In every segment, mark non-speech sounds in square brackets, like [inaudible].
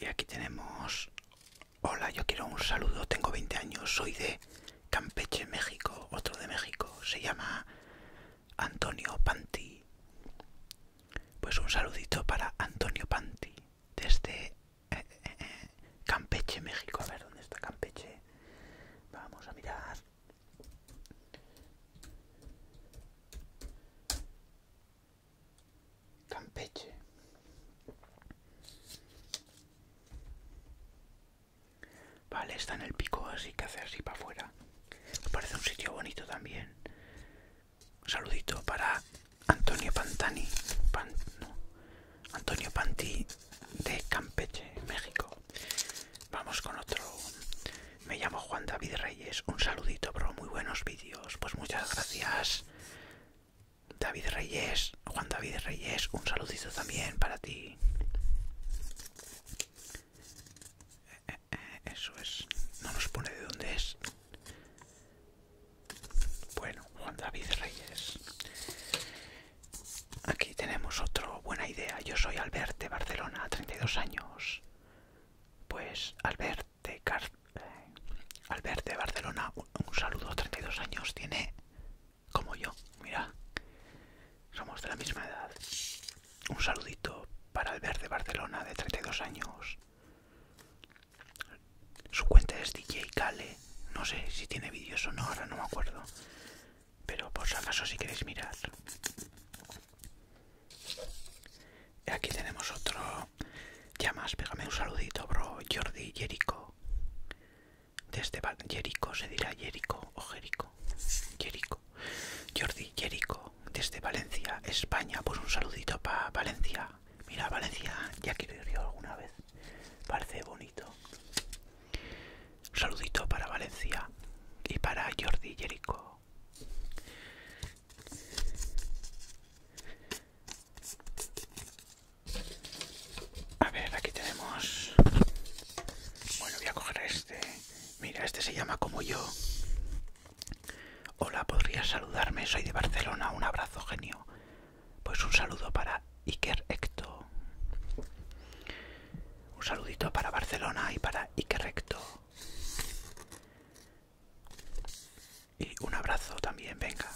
Y aquí tenemos... Hola, yo quiero un saludo, tengo 20 años, soy de Campeche, México, otro de México, se llama Antonio Panti. Pues un saludito para Antonio Panti, desde eh, eh, eh, Campeche, México. A ver, ¿dónde está Campeche? Vamos a mirar. Campeche. Vale, está en el pico, así que hace así para afuera. Me parece un sitio bonito también. Un saludito para Antonio Pantani. Antonio Panti de Campeche, México. Vamos con otro. Me llamo Juan David Reyes. Un saludito, bro. Muy buenos vídeos. Pues muchas gracias. David Reyes, Juan David Reyes, un saludito también para ti eso es. No nos pone de dónde es. Bueno, Juan David Reyes. Aquí tenemos otra buena idea. Yo soy Albert de Barcelona, 32 años. Pues Albert de, Albert de Barcelona, un saludo, 32 años, tiene como yo. Mira, somos de la misma edad. Un saludito para Albert de Barcelona, de 32 años. Su cuenta es DJ Kale. No sé si tiene vídeos o no, ahora no me acuerdo. Pero por si acaso si queréis mirar. Aquí tenemos otro. Ya más, pégame un saludito, bro. Jordi Jerico. Desde Jerico se dirá Jerico o Jerico. Jerico. Jordi Jerico desde Valencia, España. Pues un saludito para Valencia. Mira, Valencia, ya quiero ir yo alguna vez. Parece bonito. saludito para Valencia y para Jordi Jerico. A ver, aquí tenemos... Bueno, voy a coger este. Mira, este se llama como yo. Hola, ¿podrías saludarme? Soy de Barcelona. Un abrazo, genio. Pues un saludo para Iker Hecto. Un saludito para Barcelona y para Iker Ecto. Y un abrazo también, venga.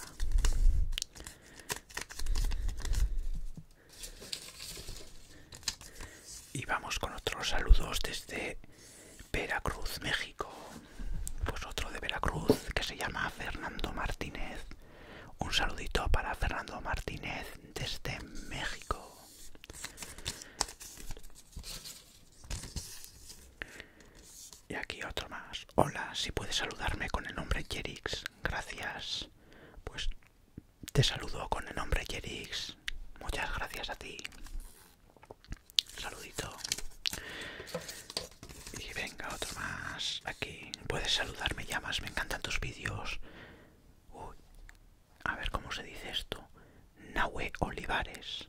Y vamos con otros saludos desde Veracruz, México. Pues otro de Veracruz que se llama Fernando Martínez. Un saludito para Fernando Martínez desde México. Y aquí otro más. Hola, si puedes saludarme con el nombre Jerix. Gracias. Pues te saludo con el nombre Jerix. Muchas gracias a ti. Saludito. Y venga, otro más. Aquí. Puedes saludarme, llamas. Me encantan tus vídeos. Uy. A ver cómo se dice esto. Nahue Olivares.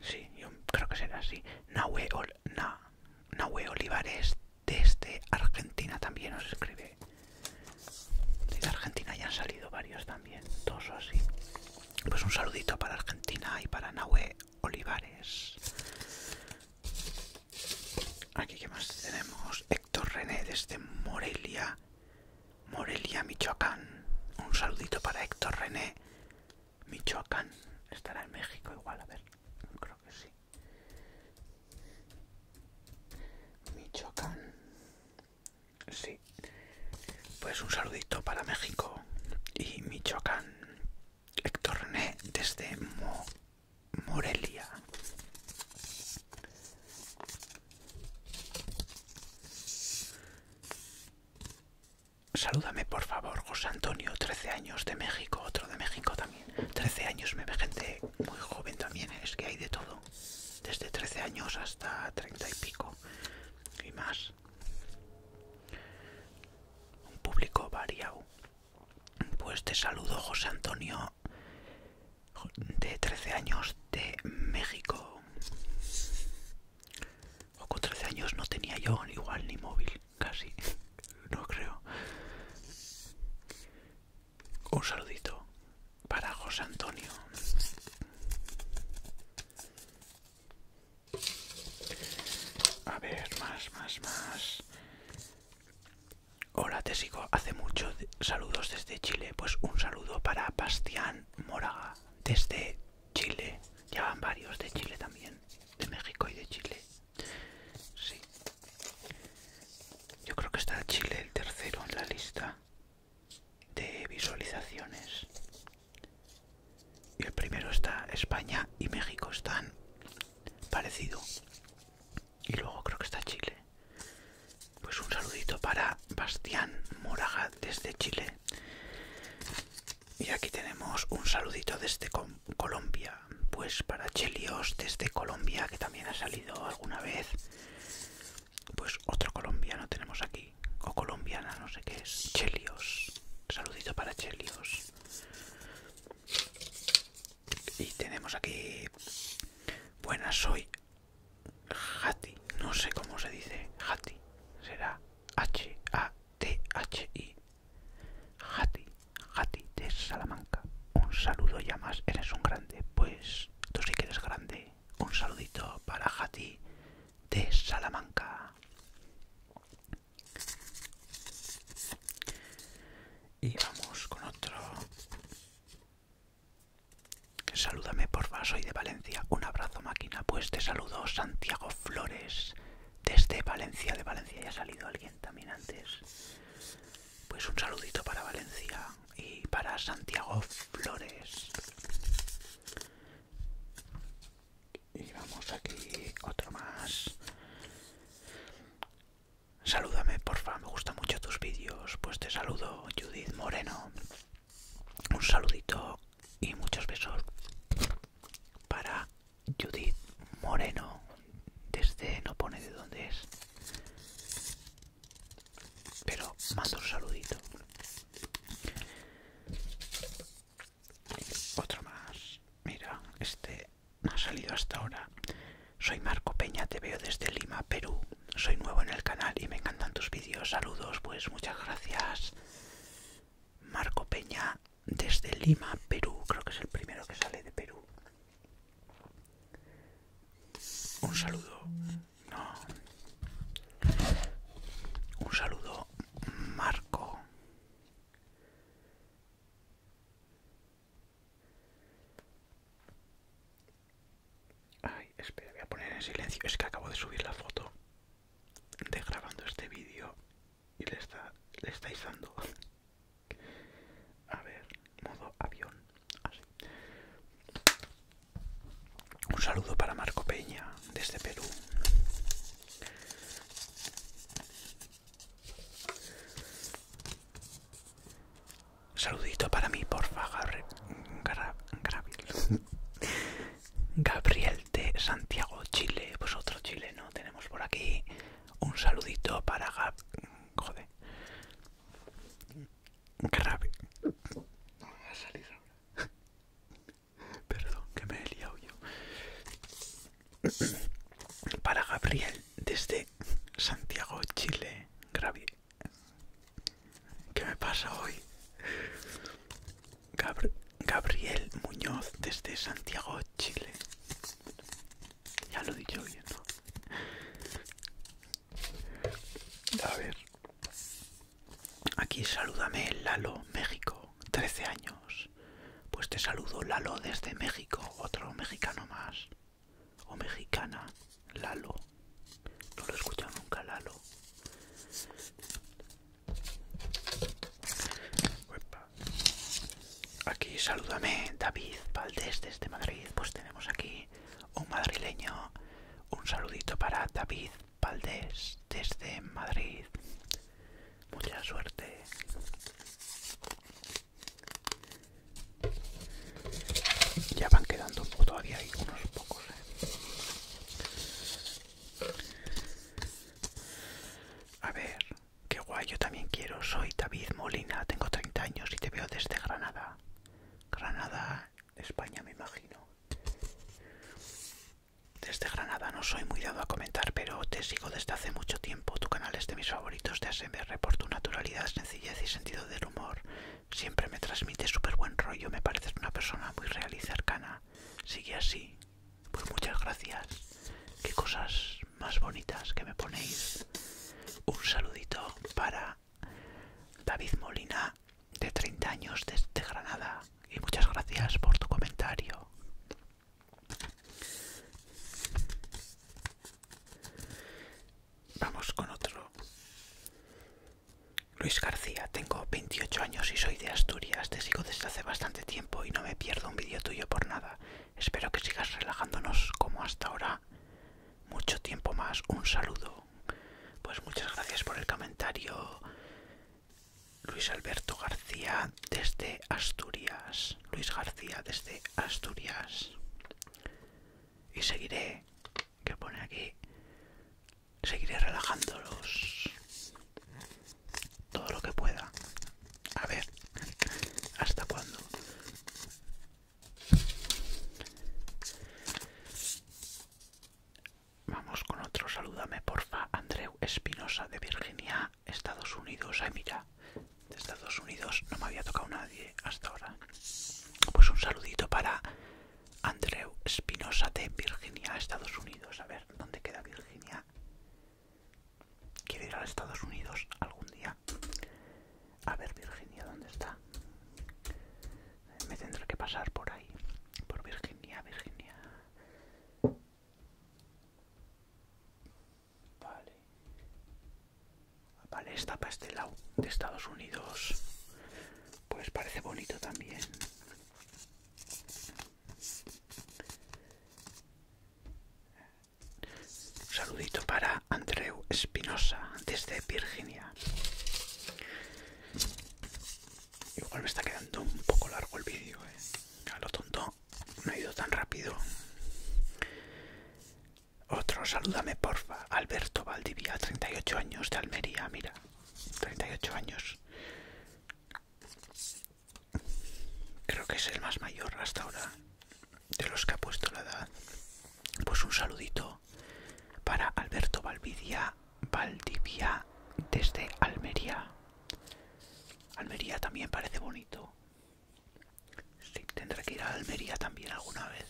Sí, yo creo que será así. Nahue, Olivares desde Argentina también os escribe. Desde Argentina ya han salido varios también. Dos o así. Pues un saludito para Argentina y para Nahue Olivares. Aquí que más tenemos Héctor René desde Morelia, Morelia, Michoacán. Un saludito para Héctor René, Michoacán. Estará en México igual, a ver, creo que sí. Michoacán. Sí. Pues un saludito para México y Michoacán. Héctor René desde Morelia. Salúdame por favor, José Antonio, 13 años de México, otro de México también. 13 años, me ve gente muy joven también, es que hay de todo. Desde 13 años hasta 30 y pico y más. Un público variado. Pues te saludo José Antonio de 13 años de México. O con 13 años no tenía yo igual ni móvil, casi. No creo. Un saludito para José Antonio. A ver, más, más, más. Hola, te sigo hace mucho. Saludos desde Chile. Pues un saludo para Bastián Moraga, desde Chile. Ya van varios de Chile también, de México y de Chile. Sí. Yo creo que está Chile el tercero en la lista de visualizaciones. Y el primero está España y México están parecido. Y luego creo que está Chile. Pues un saludito para Bastián Moraga desde Chile. Y aquí tenemos un saludito desde Colombia. Pues para Chelios desde Colombia, que también ha salido alguna vez. Pues otro colombiano tenemos aquí. O colombiana, no sé qué es. Chelios. Saludito para Chelios. Y tenemos aquí... Buenas, soy... Hati. No sé cómo se dice. Hati. Será H-A-T-H-I. Hati. Hati de Salamanca. Un saludo ya más. Eres un grande. Pues tú sí que eres grande. Un saludito para Hati de Salamanca. Y vamos con otro. Salúdame por vaso soy de Valencia. Un abrazo máquina, pues te saludo Santiago Flores desde Valencia. De Valencia ya ha salido alguien también antes. Pues un saludito para Valencia y para Santiago Flores. Y vamos aquí, otro más. Salúdame, porfa, me gustan mucho tus vídeos. Pues te saludo, Judith Moreno. Un saludito y muchos besos para Judith Moreno. Desde no pone de dónde es. Pero mando un saludito. Otro más. Mira, este no ha salido hasta ahora. Soy Marco Peña, te veo desde Lima, Perú. Soy nuevo en el canal y me encantan tus vídeos. Saludos, pues muchas gracias. Marco Peña desde Lima, Perú. Creo que es el primero que sale de Perú. Un saludo. No Un saludo, Marco. Ay, espera, voy a poner en silencio. Es que acabo de subir la foto de grabando este vídeo y le, está, le estáis dando. A ver, modo avión. Así. Un saludo para Marco Peña desde Perú. Saludito para mí, porfa, Gabriel, [laughs] Gabriel de Santiago, Chile. Pues otro chileno tenemos por aquí. Un saludito para Gab... Joder. Gabriel. [laughs] No me salir ahora. [coughs] Perdón que me he liado yo. [coughs] Para Gabriel, desde Santiago, Chile. Gravi... ¿Qué me pasa hoy? Gabriel Muñoz, desde Santiago, Chile. Ya lo he dicho bien, ¿no? A ver. Aquí salúdame Lalo, México, 13 años. Pues te saludo Lalo desde México, otro mexicano más. O mexicana, Lalo. No lo he escuchado nunca, Lalo. Aquí salúdame David Valdés desde Madrid. Pues tenemos aquí un madrileño. Un saludito para David Valdés desde Madrid. Mucha suerte. Ya van quedando todavía hay unos pocos. Eh. A ver, qué guay, yo también quiero. Soy David Molina, tengo 30 años y te veo desde Granada. Granada, España, me imagino desde Granada no soy muy dado a comentar, pero te sigo desde hace mucho tiempo. Tu canal es de mis favoritos de ASMR por tu naturalidad, sencillez y sentido del humor. Siempre me transmite súper buen rollo, me pareces una persona muy real y cercana. Sigue así. Pues muchas gracias. Qué cosas más bonitas que me ponéis. Un saludito para David Molina, de 30 años desde Granada y muchas gracias por tu comentario. Vamos con otro. Luis García, tengo 28 años y soy de Asturias. Te sigo desde hace bastante tiempo y no me pierdo un vídeo tuyo por nada. Espero que sigas relajándonos como hasta ahora. Mucho tiempo más. Un saludo. Pues muchas gracias por el comentario, Luis Alberto García desde Asturias. Luis García desde Asturias. Y seguiré, que pone aquí, seguiré relajándolos todo lo que pueda. A ver, ¿hasta cuándo? Vamos con otro, salúdame porfa, Andreu Espinosa de Virginia, Estados Unidos. Ay, mira, de Estados Unidos no me había tocado nadie hasta ahora. Pues un saludito para Andreu Espinosa de Virginia, Estados Unidos. A ver, ¿dónde queda Virginia? ¿quiere ir a Estados Unidos algún día. A ver, Virginia, ¿dónde está? me tendré que pasar por ahí, por Virginia, Virginia. Vale. Vale, esta para este lado de Estados Unidos. Pues parece bonito también. saludito para Andreu Espinosa desde Virginia. Igual me está quedando un poco largo el vídeo, eh. A lo tonto, no ha ido tan rápido. Otro, salúdame porfa. Alberto Valdivia, 38 años de Almería, mira. 38 años. Creo que es el más mayor hasta ahora de los que ha puesto la edad. Pues un saludito para Alberto Valdivia Valdivia desde Almería. Almería también parece bonito. Sí, tendré que ir a Almería también alguna vez.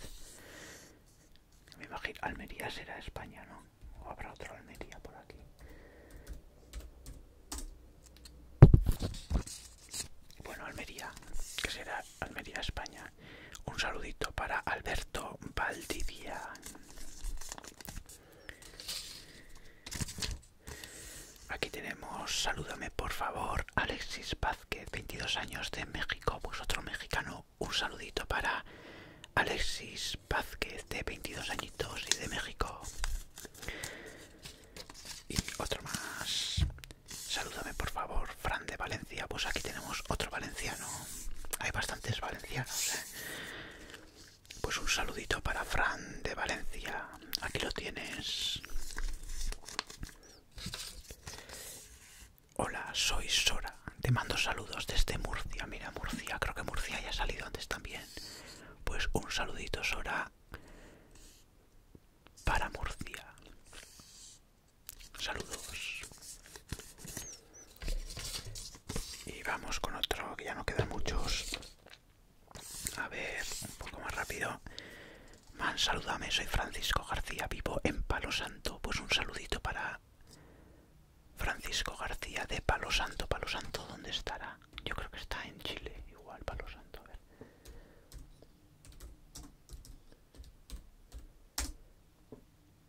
Me imagino, Almería será España, ¿no? O habrá otro Almería por aquí. Bueno, Almería, que será Almería, España. Un saludito para Alberto Valdivia. Aquí tenemos, salúdame por favor, Alexis Vázquez, 22 años de México, pues otro mexicano. Un saludito para Alexis Vázquez, de 22 añitos y de México. Y otro más. Salúdame por favor, Fran de Valencia. Pues aquí tenemos otro valenciano. Hay bastantes valencianos. ¿eh? Pues un saludito para Fran de Valencia. Aquí lo tienes. Hola, soy Sora. Te mando saludos desde Murcia. Mira, Murcia. Creo que Murcia ya ha salido antes también. Pues un saludito, Sora. Para Murcia. Saludos. Y vamos con otro, que ya no quedan muchos. A ver, un poco más rápido. Man, saludame, soy Francisco García, vivo en Palo Santo. Pues un saludito para Francisco García de Palo Santo. Palo Santo, ¿dónde estará? Yo creo que está en Chile, igual Palo Santo. ver.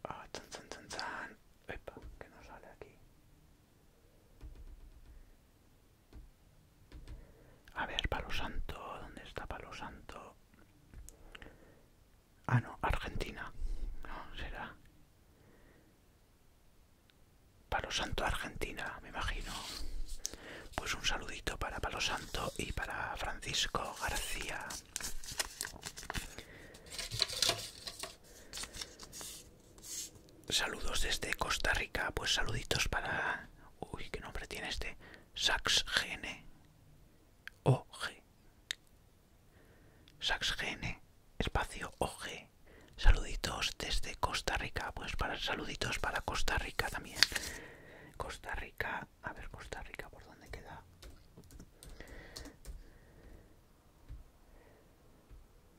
Ah, que no sale aquí. A ver, Palo Santo, ¿dónde está Palo Santo? Ah, no, Argentina. No, será. Palo Santo, Argentina, me imagino. Pues un saludito para Palo Santo y para Francisco García. Saludos desde Costa Rica, pues saluditos para... Uy, qué nombre tiene este. SaxGN. Sax SaxGN. Espacio G Saluditos desde Costa Rica, pues para saluditos para Costa Rica también. Costa Rica, a ver Costa Rica, ¿por dónde queda?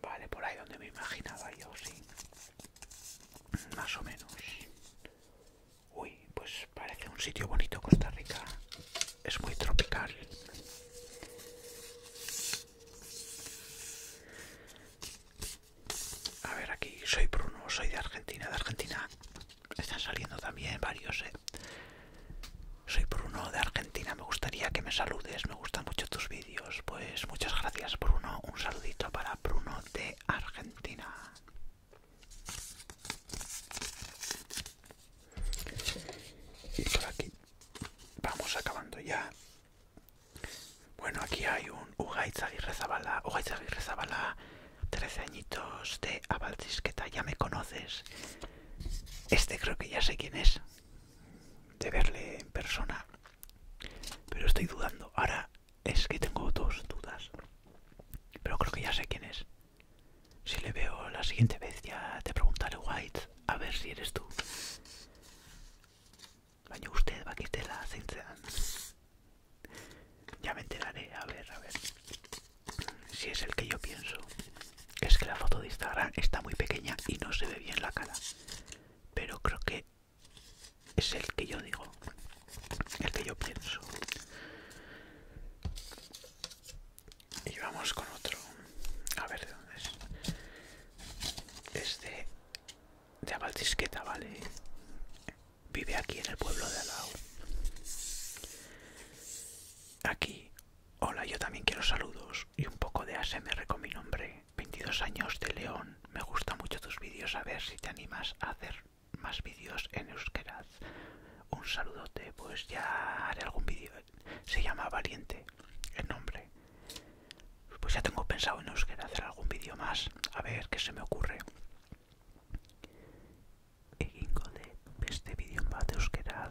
Vale, por ahí donde me imaginaba yo, sí. Más o menos. Uy, pues parece un sitio bonito Costa Rica. Es muy tropical. A ver, aquí soy Bruno, soy de Argentina. De Argentina están saliendo también varios, ¿eh? Soy Bruno de Argentina, me gustaría que me saludes, me gustan mucho tus vídeos. Pues muchas gracias Bruno, un saludito para Bruno de Argentina. Y por aquí vamos acabando ya. Bueno, aquí hay un Ugaiz Aguirre Zabala, 13 añitos de abaldisqueta. ya me conoces. Este creo que ya sé quién es de verle en persona. Pero estoy dudando. Ahora es que tengo dos dudas. Pero creo que ya sé quién es. Si le veo la siguiente vez ya te preguntaré, White, a ver si eres tú. usted, la Ya me enteraré, a ver, a ver. Si es el que yo pienso es que la foto de Instagram está muy pequeña y no se ve bien la cara. Pero creo que es el que yo digo, el que yo pienso. Y vamos con otro. A ver de dónde es. Este de, de ¿vale? Vive aquí en el pueblo de Alao. Aquí Hola, yo también quiero saludos y un poco de ASMR con mi nombre. 22 años de León. Me gustan mucho tus vídeos. A ver si te animas a hacer más vídeos en Euskera. Un saludote. Pues ya haré algún vídeo. Se llama Valiente el nombre. Pues ya tengo pensado en Euskera hacer algún vídeo más. A ver qué se me ocurre. Egingo de este vídeo va de euskera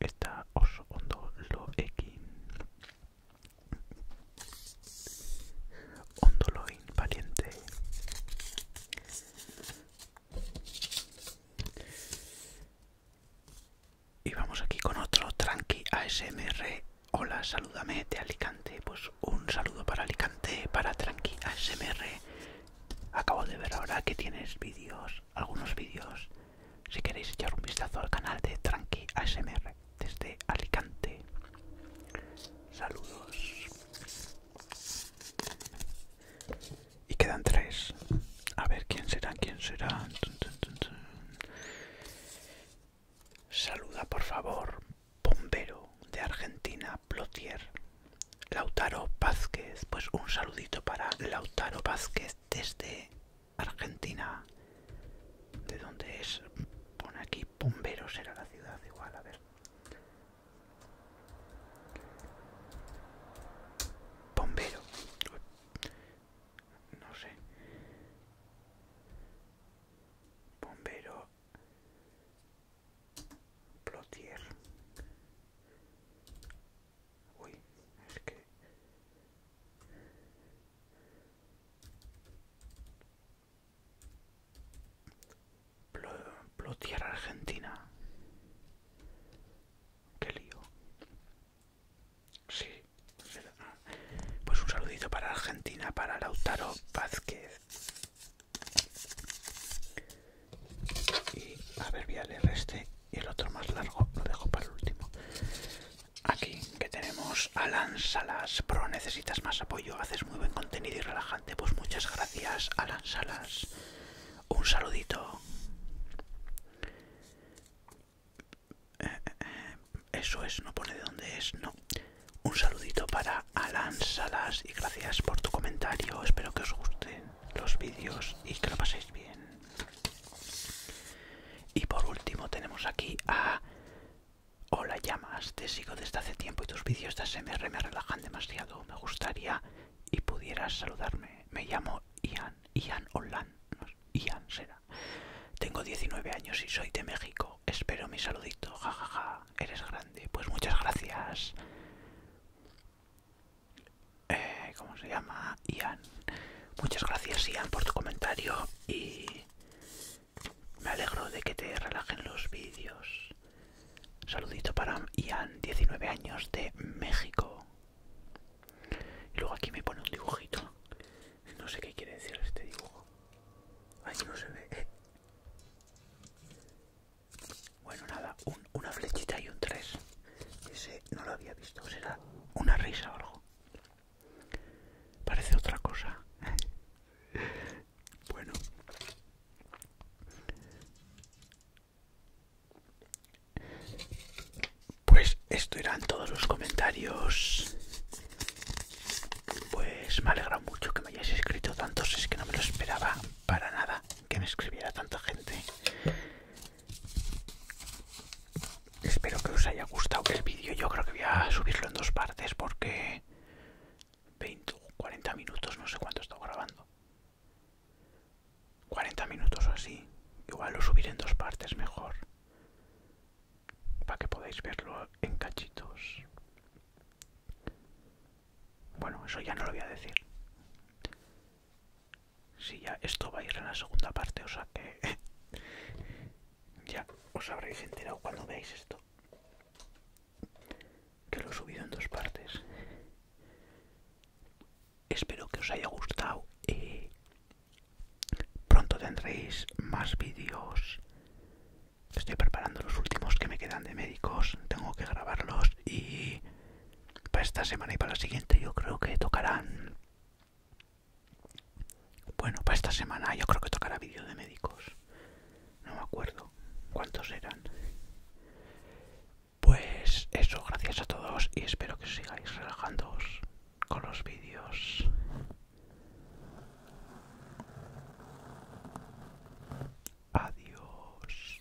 Esta oso ondolo x Ondolo valiente y vamos aquí con otro tranqui ASMR hola salúdame de Alicante pues un saludo para Alicante para tranqui ASMR acabo de ver ahora que tienes vídeos algunos vídeos si queréis echar un vistazo al canal de Tranqui ASMR desde Alicante. Saludos. Y quedan tres. A ver quién será, quién será. Saluda por favor, bombero de Argentina, Plotier. Lautaro Vázquez, pues un saludito para Lautaro Vázquez desde Argentina. ¿De dónde es? Pone aquí Bombero, será la ciudad igual, a ver. Bombero. No sé. Bombero. Plotier. Uy, es que... Argentina. Qué lío. Sí. Pues un saludito para Argentina, para Lautaro Vázquez y a ver el este y el otro más largo lo dejo para el último aquí que tenemos Alan Salas Pro necesitas más apoyo haces muy buen contenido y relajante pues muchas gracias Alan Salas un saludito eso es no pone de dónde es no un saludito para Alan Salas y gracias por tu comentario espero que os gusten los vídeos y que lo paséis bien y por último tenemos aquí a... Hola llamas, te sigo desde hace tiempo y tus vídeos de ASMR me relajan demasiado. Me gustaría y pudieras saludarme. Me llamo Ian, Ian Holland Ian será. Tengo 19 años y soy de México. Espero mi saludito, jajaja, ja, ja. eres grande. Pues muchas gracias. Eh, ¿Cómo se llama? Ian. Muchas gracias Ian por tu comentario y me alegro de que te relajen los vídeos. Saludito para Ian, 19 años de México. Y luego aquí me pone un dibujito. No sé qué quiere decir este dibujo. Ahí no se ve. [laughs] Bueno, nada, una flechita y un 3. Ese no lo había visto. Será una risa o algo. Parece otra cosa. [laughs] bueno. Pues esto eran todos los comentarios. Pues me alegra mucho que me hayáis escrito tantos, es que no me lo esperaba para nada que me escribiera tanta gente. Espero que os haya gustado el vídeo. Yo creo que voy a subirlo en dos partes porque 20 40 minutos, no sé cuánto he estado grabando. 40 minutos o así. Igual lo subiré en dos partes mejor. Para que podáis verlo en cachitos. Bueno, eso ya no lo voy a decir si ya esto va a ir en la segunda parte, o sea que [laughs] ya os habréis enterado cuando veáis esto que lo he subido en dos partes. Espero que os haya gustado. y pronto tendréis más vídeos. Estoy preparando los últimos que me quedan de médicos. Tengo que grabarlos y para esta semana y para la siguiente yo creo que tocarán bueno para esta semana yo creo que tocará vídeo de médicos no me acuerdo cuántos eran pues eso gracias a todos y espero que sigáis relajándoos con los vídeos adiós